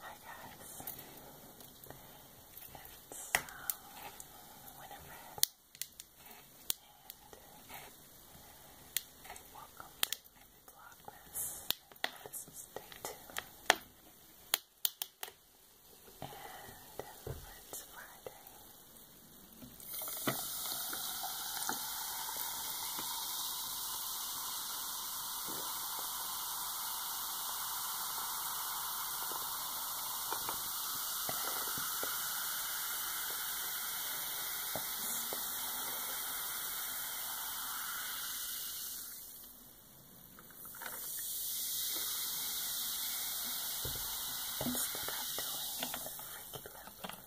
Hi guys, it's um, Winifred, and welcome uh, to Vlogmas. This is day two, and it's Friday. I Instead of doing the Freaky Lip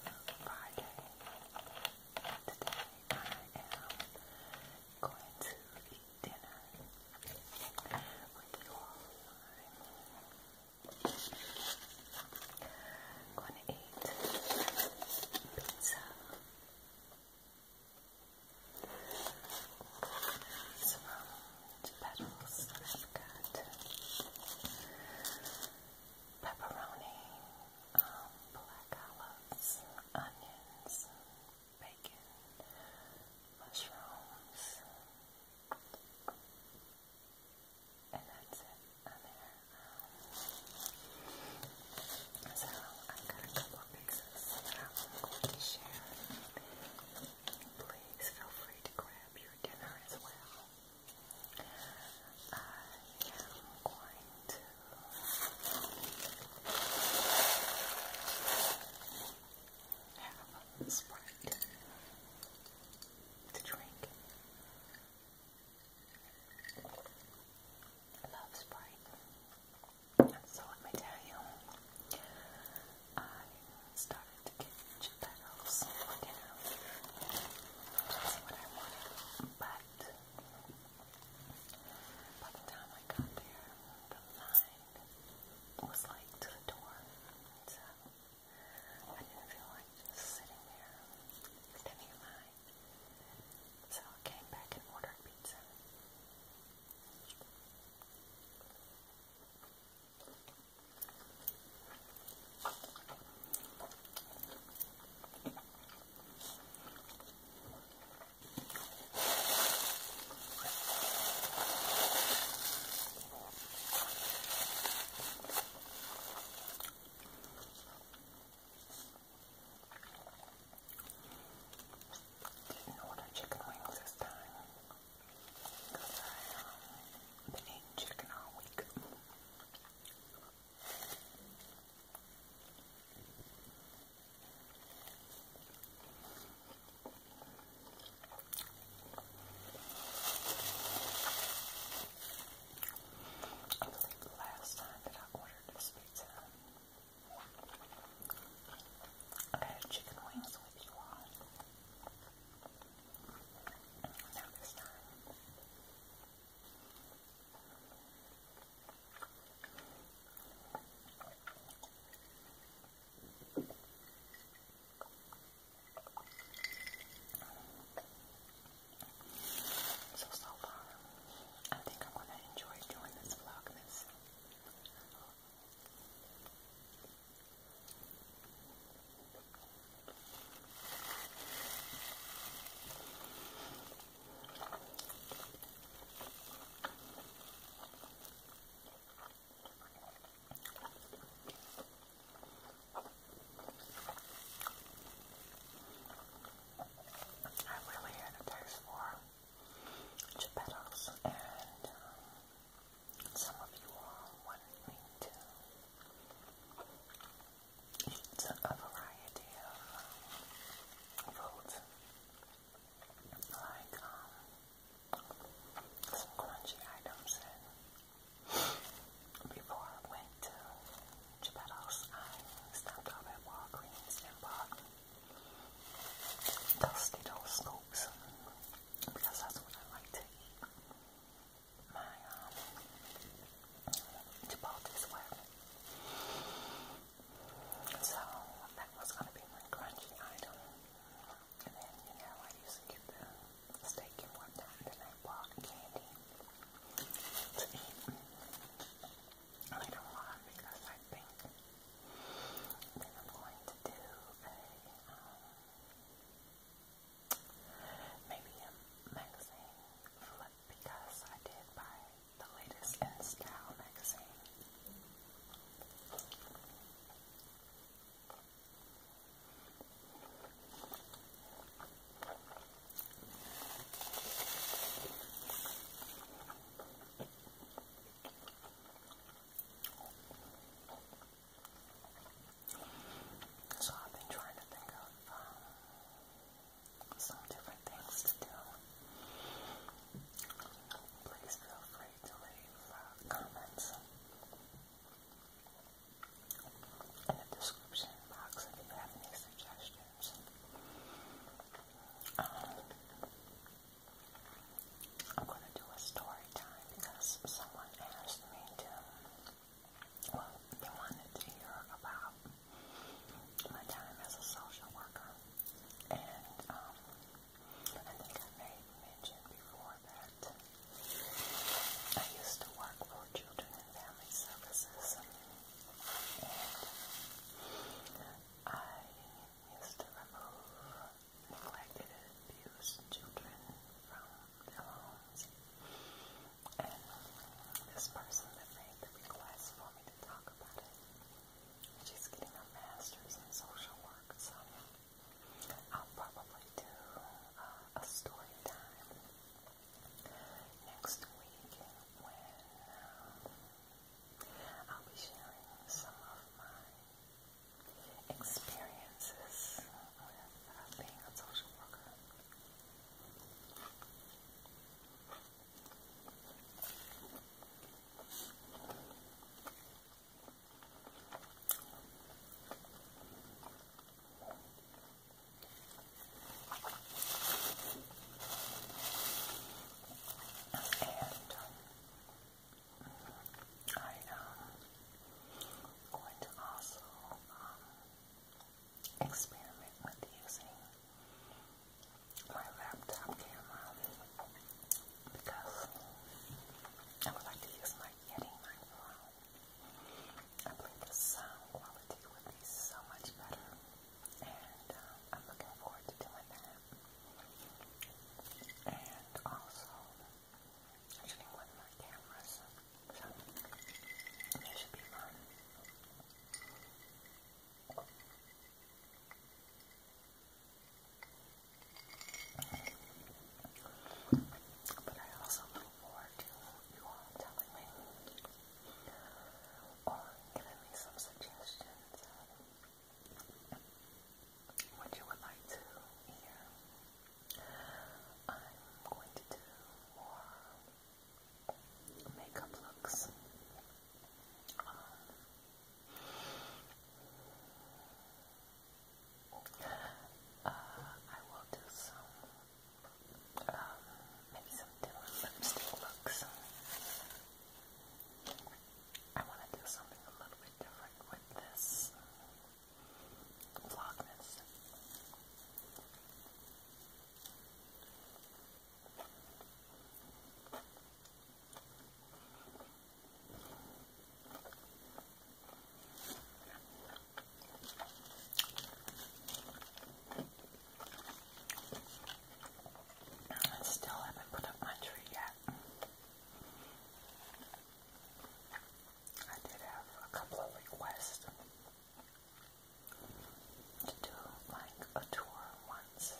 Friday, today I am going to eat dinner with you I'm going to eat pizza. Some petals I've got. Pepperoni, um, black olives, onions, bacon, mushrooms, and that's it so I've got a couple of I'm going to share. Please feel free to grab your dinner as well. I am going to have Sprite to drink. love Sprite. So let me tell you, I started to get Geppetto's for what I wanted, but by the time I got there, the line was like to the door, so I didn't feel like just sitting there standing in line. So I came back and ordered pizza. Didn't order chicken wings this time because I um, been eating chicken all week. I think the last time that I ordered this pizza, I had chicken wings with you on. Now this time, so, so far, I think I'm going to enjoy doing this vlogmas. I really had a and um, some of you all wanted me to eat a variety of um, foods, like um, some crunchy items. before I went to Geppetto's, I stopped off at Walgreens and bought Tostitos scoops because that's what I like to eat my um, Gibaldi's work. So that was going to be my crunchy item. And then, you know, I used to steak and whatnot, and candy to eat. Later on, because I think I'm going to do a um, maybe a magazine flip because I did buy the latest in style magazine. So I've been trying to think of uh, some different things to do. Please feel free to leave uh, comments in the description box if you have any suggestions. Um, I'm going to do a story time because someone asked me to well, they wanted to hear about my time as a social worker, and um, I think I may mention before that I used to work for Children and Family Services, and I used to remove neglected and abused children from their homes. And this person that made the request for me to talk about it, she's getting her master's in social work, so I'll probably do uh, a story time next week when um, I'll be sharing some of my experiences with uh, being a social worker. And um, I am um, going to also um, experiment with using my laptop camera because I would like to use my Yeti microphone. I believe the sound quality would be so much better, and um, I'm looking forward to doing that. And also, actually one of my cameras, so this should be fun. But I also look forward to you all telling me or giving me some suggestions what you would like to hear. I'm going to do more makeup looks. Um, uh, I will do some, um, maybe some different lipstick looks. Um, I want to do something a little bit different with this vlogmas. I still haven't put up my tree yet. I did have a couple of requests to do like a tour once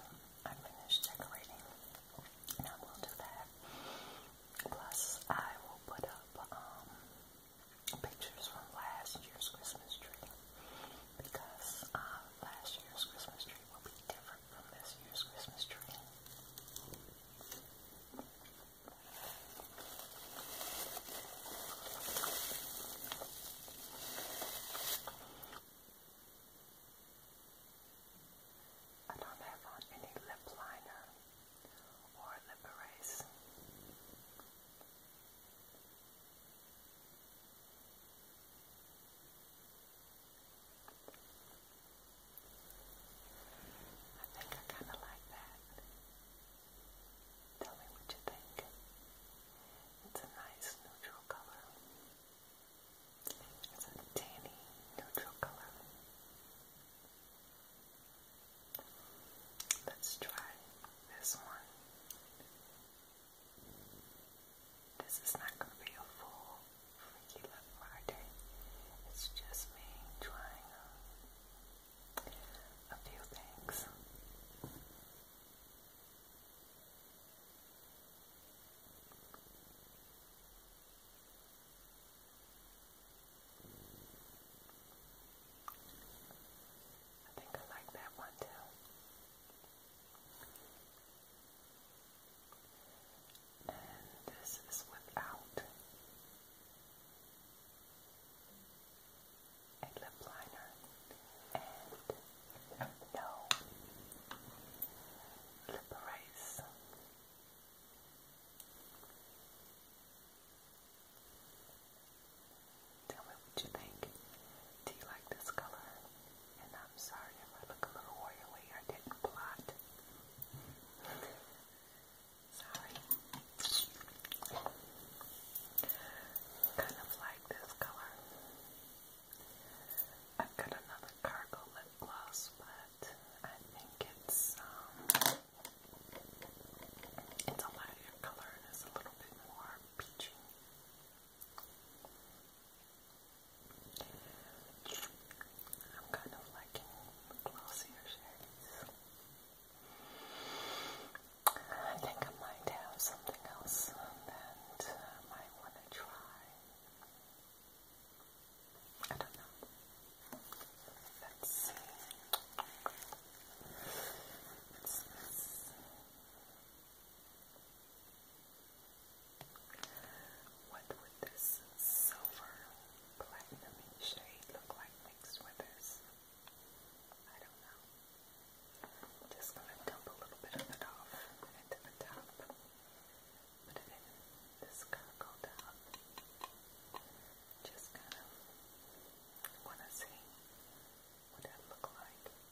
I finish decorating, and I will do that. Plus, I will put up um, pictures from last year's Christmas tree because uh, last year's Christmas tree will be different. Christmas tree. I don't have on any lip liner or lip erase. I think I kind of like that. Tell me what you think. It's a nice neutral color. It's a tanny neutral color. Let's try this one. This is not going to be a full Freaky Friday. It's just me trying a, uh, a few things. I think I like that one too. And this is without a lip liner and no lip erase. Tell me what you think. Do you like this color? And I'm sorry if I look a little oily. I didn't blot. sorry. Kind of like this color. I've got another cargo lip gloss, but I think it's um it's a lighter color it's a little bit more peachy. I'm kind of liking glossier shades. I think I might have something else that I might want to try. I don't know. Let's see. What's this? What would this silver platinum shade look like mixed with this? I don't know. just gonna dump a little bit of it off into the top. Put it in this cargo top. Just kind of wanna see what that look like.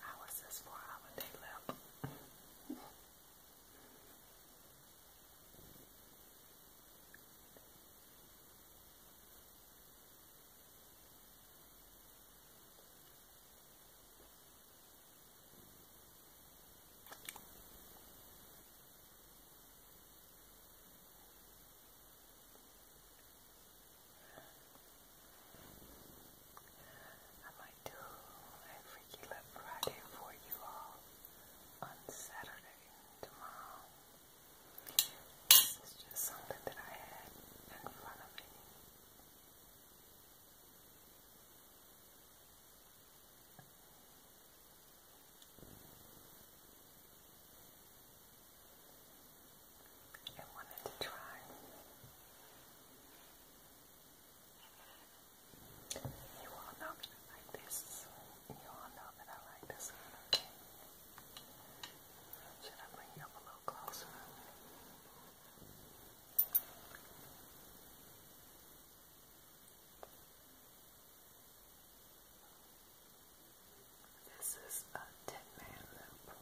How is this for our day left? I might do a Freaky Love for you all on Saturday tomorrow. This is just something that I had in front of me. I wanted to try. You all know that I like this. You all know that I like this one, okay? Should I bring you up a little closer? Okay. This is a 10 Man loop.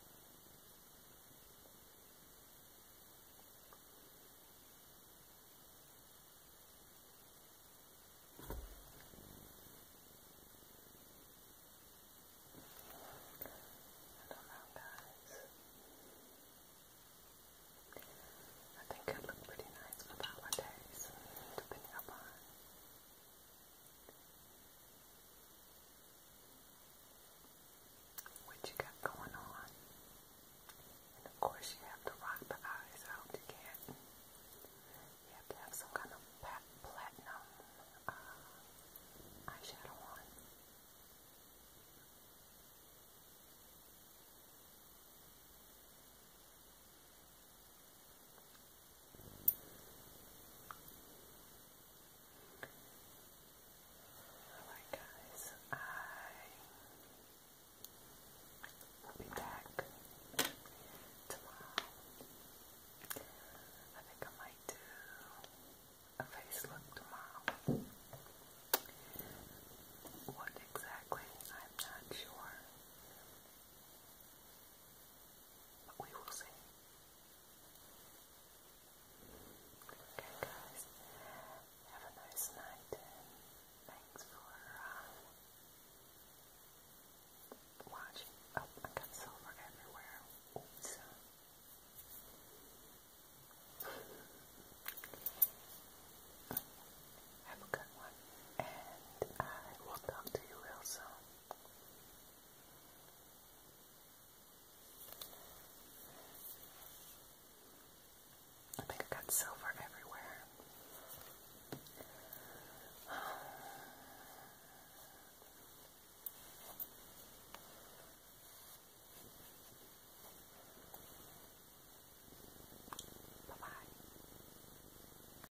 I don't know, guys. I think it looked pretty nice for the holidays, depending upon what you got going on? And of course, you have to rock the eyes out. You can't. You have to have some kind of platinum uh, eyeshadow on. Alright guys, I will be back tomorrow. I think I might do a face look tomorrow. What exactly, I'm not sure but we will see. Okay, guys, have a nice night, and thanks for um, watching. Oh, I got silver everywhere. Oops. Have a good one, and I will talk to you real soon. I think I got silver everywhere. Bye-bye.